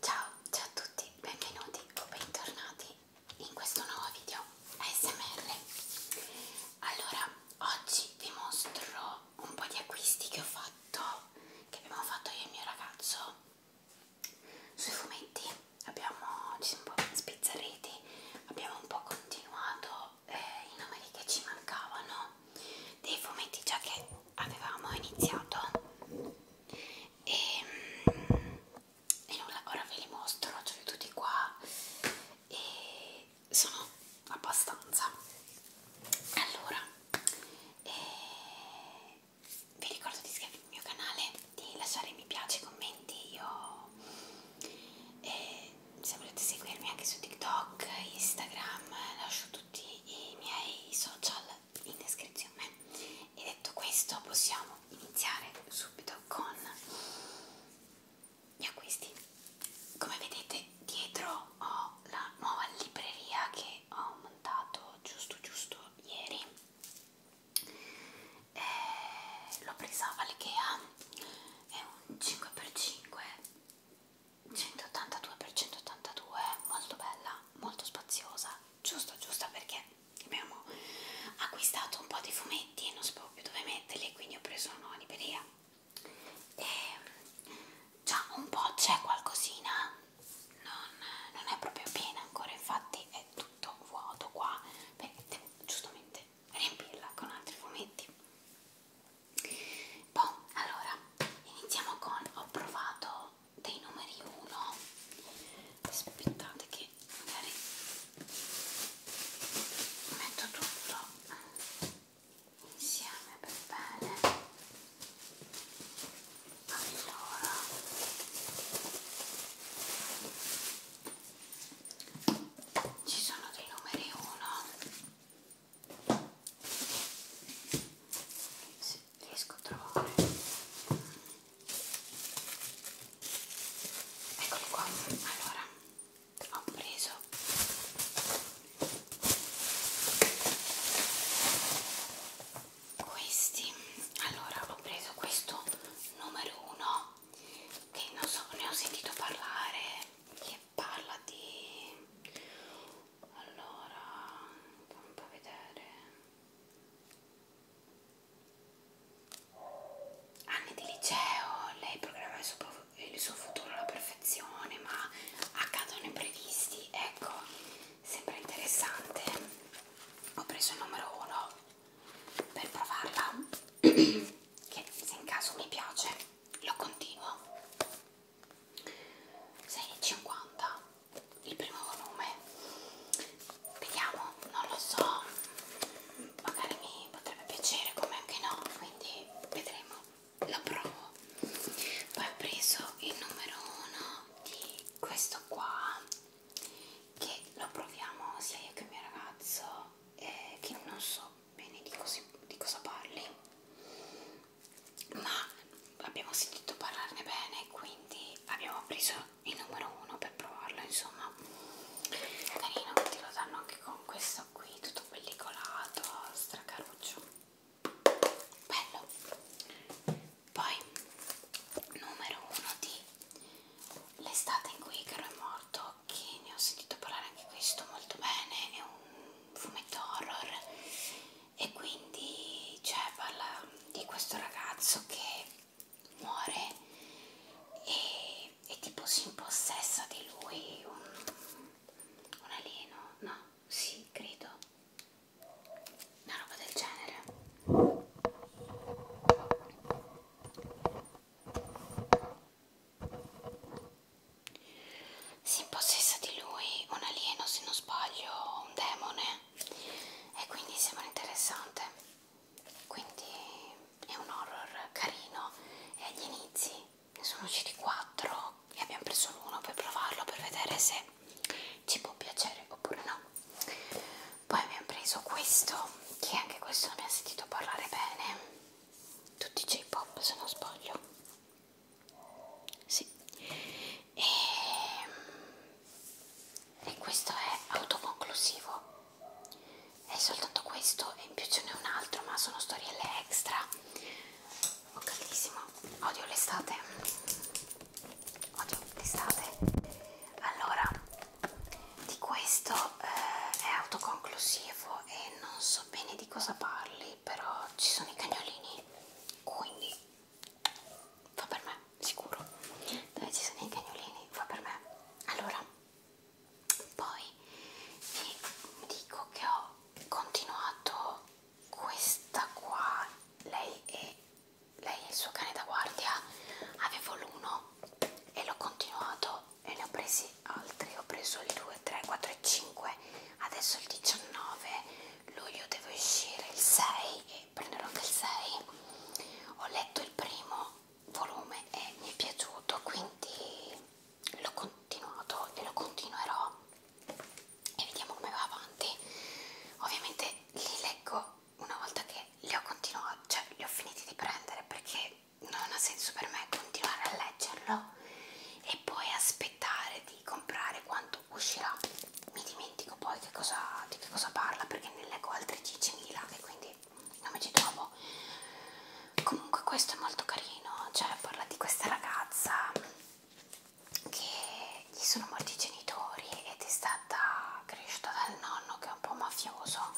Ciao, ciao a tutti, benvenuti o bentornati in questo nuovo video ASMR. Allora, oggi vi mostro un po' di acquisti che ho fatto, che abbiamo fatto io e il mio ragazzo sui fumetti. Abbiamo, ci siamo un po' spizzarriti, abbiamo un po' continuato eh, i numeri che ci mancavano dei fumetti già che avevamo iniziato e, ehm, e nulla, ora ve li mostro, ce li ho tutti qua e sono abbastanza allora eh, vi ricordo di iscrivervi al mio canale di lasciare mi piace, commenti io eh, se volete seguirmi anche su TikTok, Instagram lascio tutti i miei social in descrizione e detto questo possiamo iniziare subito con gli acquisti come vedete dietro ho la nuova libreria che ho montato giusto giusto ieri eh, l'ho presa all'Ikea è un 5x5 182x182 molto bella molto spaziosa giusto giusto perché abbiamo acquistato un po' di fumetti e non sapevo più dove metterli quindi ho preso uno libreria e già un po' c'è qualcosina non, non è proprio piena ancora infatti è tutto vuoto qua perché devo giustamente riempirla con altri fumetti Bon, allora iniziamo con ho provato dei numeri 1 aspettate che magari metto tutto insieme per bene allora ci sono dei numeri 1 sì riesco a trovare eccoli qua allora ho preso questi allora ho preso questo numero uno che non so ne ho sentito parlare che parla di allora fammi vedere anni di liceo lei programma il suo, il suo futuro alla perfezione ma accadono imprevisti ecco sembra interessante ho preso il numero 1 per provarla che se in caso mi piace lo continuo 6,50 il primo volume vediamo non lo so magari mi potrebbe piacere come anche no quindi vedremo lo provo poi ho preso il numero 1 di questo qua che lo proviamo sia io che il mio ragazzo eh, che non so bene di, così, di cosa parli ma abbiamo sentito parlarne bene quindi abbiamo preso il numero uno per provarlo insomma carino ti lo danno anche con questo qui tutto pellicolato stracaruccio bello poi numero uno di l'estate in cui Caro è morto che ne ho sentito parlare anche questo molto bene è un fumetto horror e quindi cioè, parla di questo ragazzo che muore e, e tipo si impossessa di lui un, un alieno, no? Sì, credo, una roba del genere si impossessa di lui un alieno, se non sbaglio, un demone e quindi sembra interessante. Quindi è un horror carino e agli inizi ne sono usciti quattro e abbiamo preso uno per provarlo per vedere se ci può piacere oppure no. Poi abbiamo preso questo che anche questo ne ha sentito parlare bene. Tutti J-pop se non sbaglio sì. E, ehm, e questo è autoconclusivo. È soltanto questo e in più ce n'è un altro, ma sono storielle extra. Ho oh, caldissimo. Odio l'estate. Odio l'estate. Allora, di questo eh, è autoconclusivo e non so bene di cosa parli, però ci sono i cagnolini. Quindi Fa per me, sicuro. Dove ci sono i cagnolini? Fa per me. Allora, poi vi dico che ho continuato questa qua. Lei è, lei è il suo cane da guardia. Avevo l'uno e l'ho continuato e ne ho presi altri. Ho preso il 2, 3, 4 e 5. Adesso il 19 luglio devo uscire il 6 e prenderò anche il 6 ho letto il primo volume e mi è piaciuto quindi l'ho continuato e lo continuerò e vediamo come va avanti ovviamente li leggo una volta che li ho continuati cioè li ho finiti di prendere perché non ha senso per me continuare a leggerlo e poi aspettare di comprare quanto uscirà mi dimentico poi che cosa, di che cosa parla perché ne leggo altri 10.000 e quindi non mi ci trovo comunque questo è molto carino cioè parla di questa ragazza che gli sono morti i genitori ed è stata cresciuta dal nonno che è un po' mafioso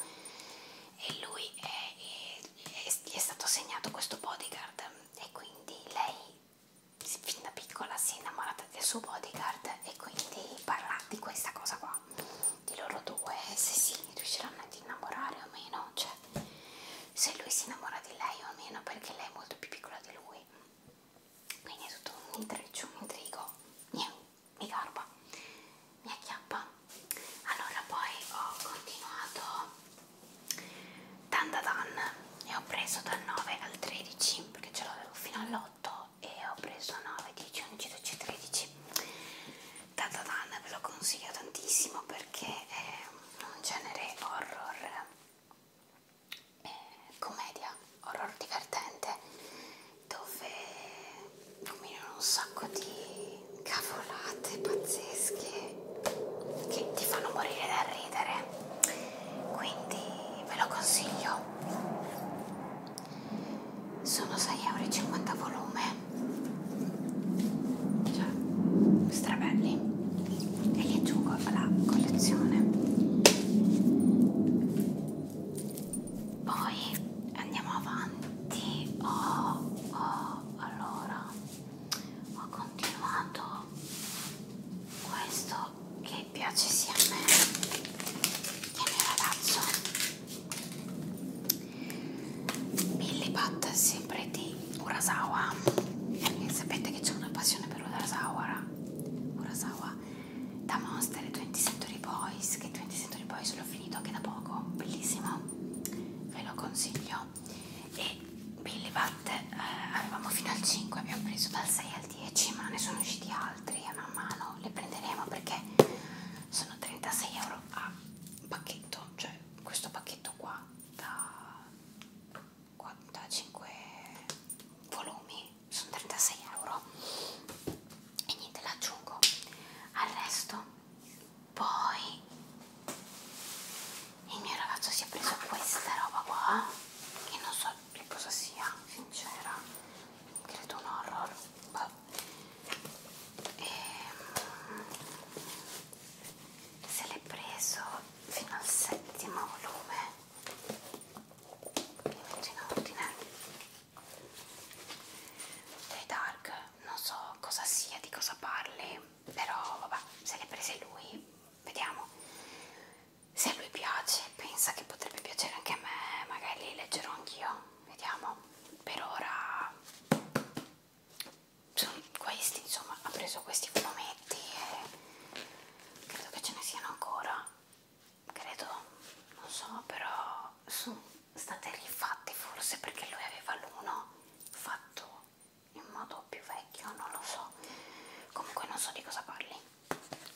e lui è, è, è, gli è stato assegnato questo bodyguard e quindi lei fin da piccola si è innamorata del suo bodyguard e quindi parla di questa cosa qua di loro due se si riusciranno ad innamorare o meno cioè se lui si innamora di lei o meno perché lei è molto più piccola di lui quindi è tutto un intreccio un intrigo Niente, mi garba mi acchiappa allora poi ho continuato Dandadan e ho preso dal 9 al 13 perché ce l'avevo fino all'8 e ho preso 9, 10, 11, 12, 13 Dandadan ve lo consiglio tantissimo perché è un genere horror eh, commedia horror divertente dove combinano un sacco di cavolate pazzesche che ti fanno morire da ridere quindi ve lo consiglio sono 6,50 euro volume cioè strabelli e li aggiungo alla collezione poi andiamo avanti oh, oh, allora ho continuato questo che piace sia a me che al mio ragazzo Billy Pat sempre di Urasawa e sapete che c'è una passione per Urasawa Urasawa da Monster e 20 Century Boys che 20 Century Boys l'ho finito anche da poco bellissimo ve lo consiglio e Billy Bat eh, avevamo fino al 5 abbiamo preso dal 6 al 10 ma ne sono usciti altri e man mano li prenderemo perché sono 36 euro a pacchetto cioè questo pacchetto qua da 45 volumi sono 36 euro e niente l'aggiungo al resto poi il mio ragazzo si è preso questa roba qua che non so che cosa sia sincera credo un horror boh. e ehm, se l'è preso fino al settimo volume che metto in ordine dei dark non so cosa sia di cosa parli però vabbè se le prese lui vediamo se a lui piace pensa che potrebbe piacere anche a me magari le leggerò anch'io vediamo per ora sono questi insomma ha preso questi fumetti e credo che ce ne siano ancora credo non so però sono state rifatte forse perché lui aveva l'uno fatto in modo più vecchio, non lo so. Comunque non so di cosa parli.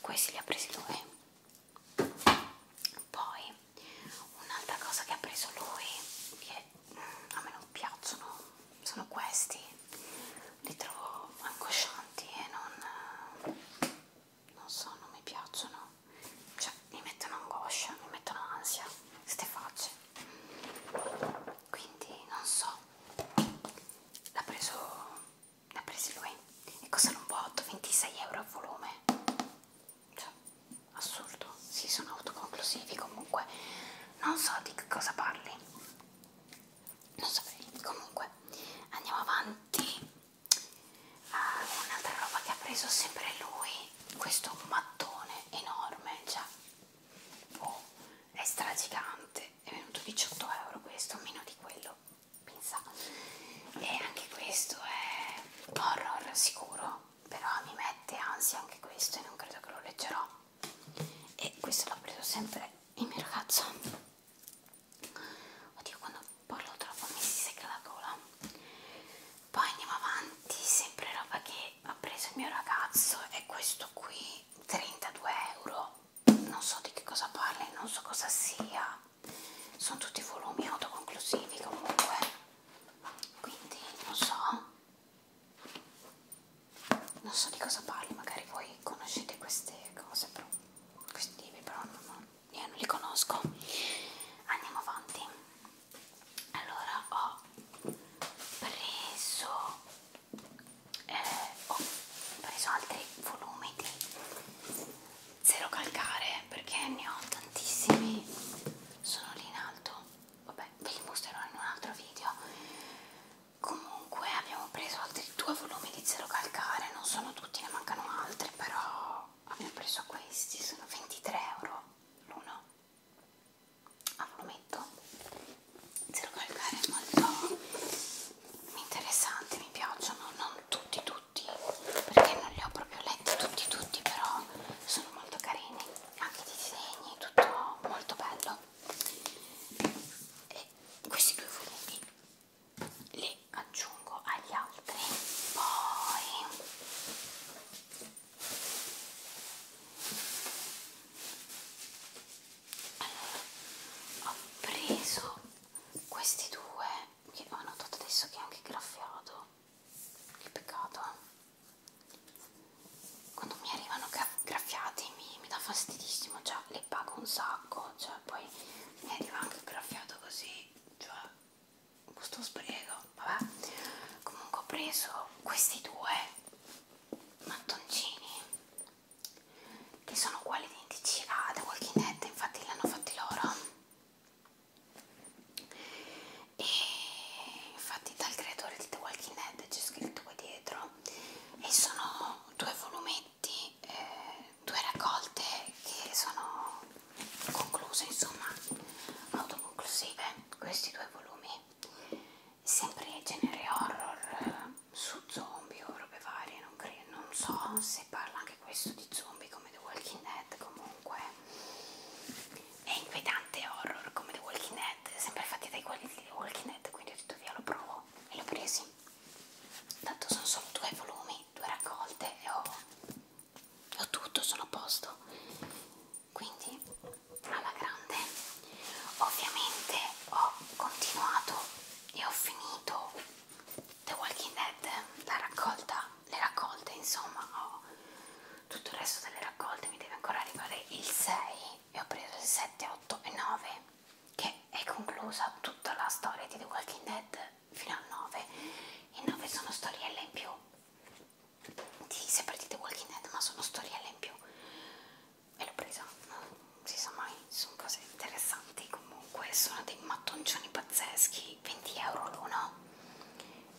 Questi li ha presi lui. Poi un'altra cosa che ha preso lui, che mm, a me non piacciono, sono questi. Li trovo angoscianti e non, non so, non mi piacciono. Cioè, mi mettono angoscia, mi mettono ansia, queste facce quindi non so l'ha preso l'ha preso lui e costano un po' 8, 26 euro a volume cioè, assurdo si sono autoconclusivi comunque non so di che cosa parli non saprei comunque andiamo avanti uh, un'altra roba che ha preso sempre lui questo mattone enorme già cioè, oh, è stragigante è venuto 18 euro questo, meno di quello, pensa. E anche questo è horror sicuro, però mi mette ansia anche questo e non credo che lo leggerò. E questo l'ho preso sempre il mio ragazzo. Oddio, quando parlo troppo mi si secca la gola. Poi andiamo avanti, sempre roba che ha preso il mio ragazzo, è questo qui quindi 32 euro non so di che cosa parli non so cosa sia sono tutti volumi autoconclusivi comunque quindi non so non so di cosa parli magari voi conoscete queste cose però questi libri però non, io non li conosco andiamo avanti allora ho preso eh, oh, ho preso altri volumi di zero calcare perché ne ho tantissimi sono lì in alto vabbè ve li mostrerò in un altro video comunque abbiamo preso altri due volumi di zero calcare non sono tutti ne mancano altri però abbiamo preso questi sono 23 euro l'uno Ah, a fumetto calcare molto interessanti mi piacciono non tutti tutti perché non li ho proprio letti tutti tutti però sono molto carini anche i disegni tutto molto bello e questi due fumetti li aggiungo agli altri poi allora ho preso questi due che ho notato adesso che è anche graffiato che peccato quando mi arrivano graffiati mi, mi dà fastidissimo cioè le pago un sacco cioè poi mi arriva anche graffiato così cioè questo sbrigo vabbè comunque ho preso questi due mattoncini che sono uguali identici a The Walking Dead, infatti li hanno fatti loro e infatti dal creatore di The Walking Dead c'è scritto qua dietro e sono due volumetti, eh, due raccolte che sono concluse insomma autoconclusive questi due volumi sempre genere horror su zombie o robe varie, non, credo, non so se parla anche questo di zombie come The Walking Dead, comunque è inquietante horror come The Walking Dead, sempre fatti dai quelli di The Walking Dead, quindi ho detto via lo provo e l'ho presi. Tanto sono solo due volumi, due raccolte e ho, ho tutto, sono a posto. Quindi alla grande ovviamente ho continuato e ho finito The Walking Dead la raccolta le raccolte insomma ho tutto il resto delle raccolte mi deve ancora arrivare il 6 e ho preso il 7 8 e 9 che è conclusa tutta la storia di The Walking Dead fino al 9 e 9 sono storielle in più di sempre di The Walking Dead ma sono storielle in più e l'ho presa, non si sa mai, sono cose interessanti comunque, sono dei mattoncioni pazzeschi, 20 euro l'uno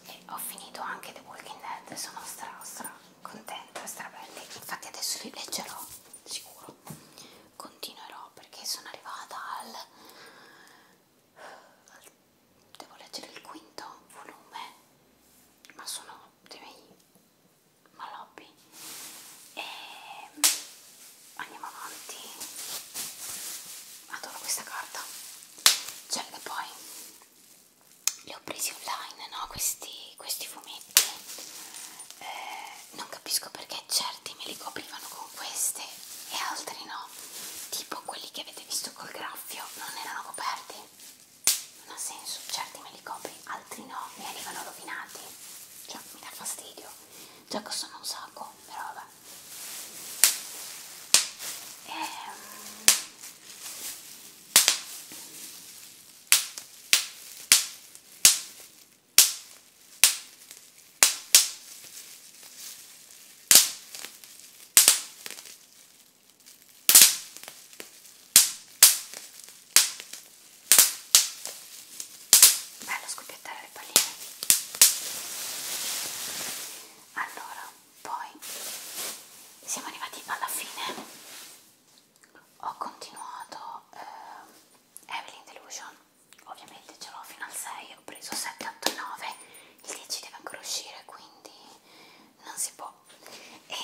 e ho finito anche The Walking Dead, sono stra stra contenta, stra belli, infatti adesso li leggerò, sicuro, continuerò perché sono arrivata al... al devo leggere il quinto volume, ma sono dei miei Maloppi e andiamo avanti adoro questa carta cioè che poi li ho presi online no questi, questi fumetti eh, non capisco perché certi me li coprivano con queste e altri no tipo quelli che avete visto col graffio non erano coperti non ha senso, certi me li copri, altri no, mi arrivano rovinati, cioè mi dà fastidio, già costano un sacco, però vabbè. Ehm... Bello scoppiettare le palline. Allora, poi siamo arrivati alla fine. Ho continuato eh, Evelyn Delusion, ovviamente ce l'ho fino al 6, ho preso 7, 8, 9, il 10 deve ancora uscire quindi non si può. E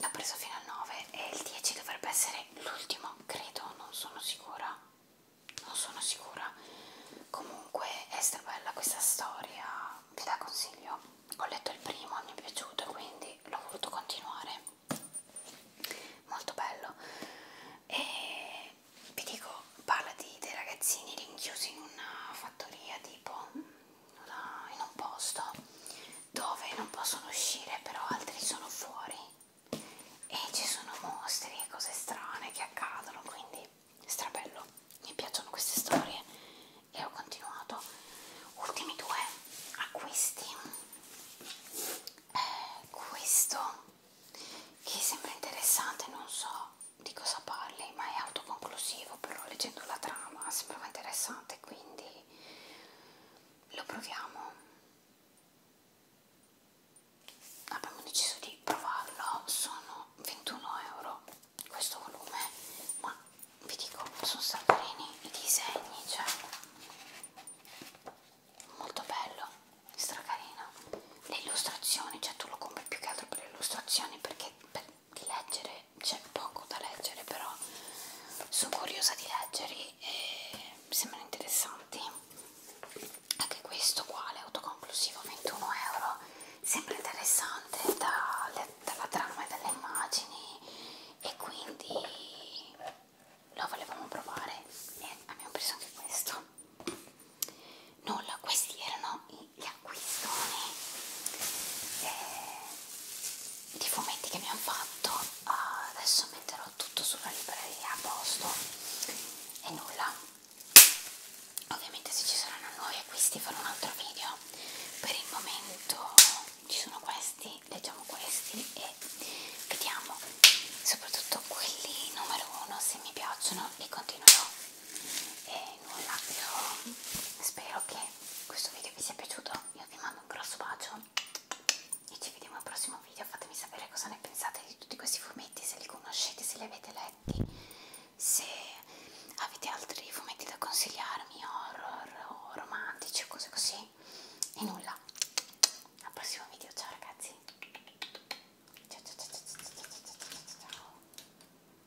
l'ho preso fino al 9 e il 10 dovrebbe essere l'ultimo, credo, non sono sicura, non sono sicura. Comunque è strabella questa storia, vi la consiglio. Ho letto il primo, mi è piaciuto quindi l'ho voluto continuare. Molto bello. E vi dico, parla di dei ragazzini rinchiusi in una fattoria tipo una, in un posto dove non possono uscire però altri sono fuori e ci sono mostri e cose strane che accadono quindi strabello mi piacciono queste storie e ho continuato ultimi due acquisti eh, questo che sembra interessante non so di cosa parli, ma è autoconclusivo, però leggendo la trama sembrava interessante, quindi lo proviamo. Abbiamo deciso di provarlo, sono 21 euro questo volume, ma vi dico, sono salverini i disegni, cioè molto bello, stracarino. Le illustrazioni, cioè tu lo compri più che altro per le illustrazioni perché per di leggere c'è poco da leggere però sono curiosa di leggerli e mi sembrano interessanti anche questo uguale autoconclusivo 21 euro sempre interessante dalle, dalla trama e dalle immagini e quindi lo volevamo provare e abbiamo preso anche questo nulla questi erano i l'acquistone eh, di fumetti che abbiamo fatto uh, adesso metterò tutto sulla libreria a posto e nulla ovviamente se ci saranno nuovi acquisti farò un altro video per il momento ci sono questi leggiamo questi e vediamo soprattutto quelli numero uno se mi piacciono li continuerò e nulla io spero che questo video vi sia piaciuto io vi mando un grosso bacio e ci vediamo al prossimo video fatemi sapere cosa ne pensate di tutti questi fumetti se li conoscete se li avete letti se avete altri fumetti da consigliarmi horror o romantici o cose così e nulla al prossimo video ciao ragazzi ciao ciao ciao ciao ciao ciao ciao ciao ciao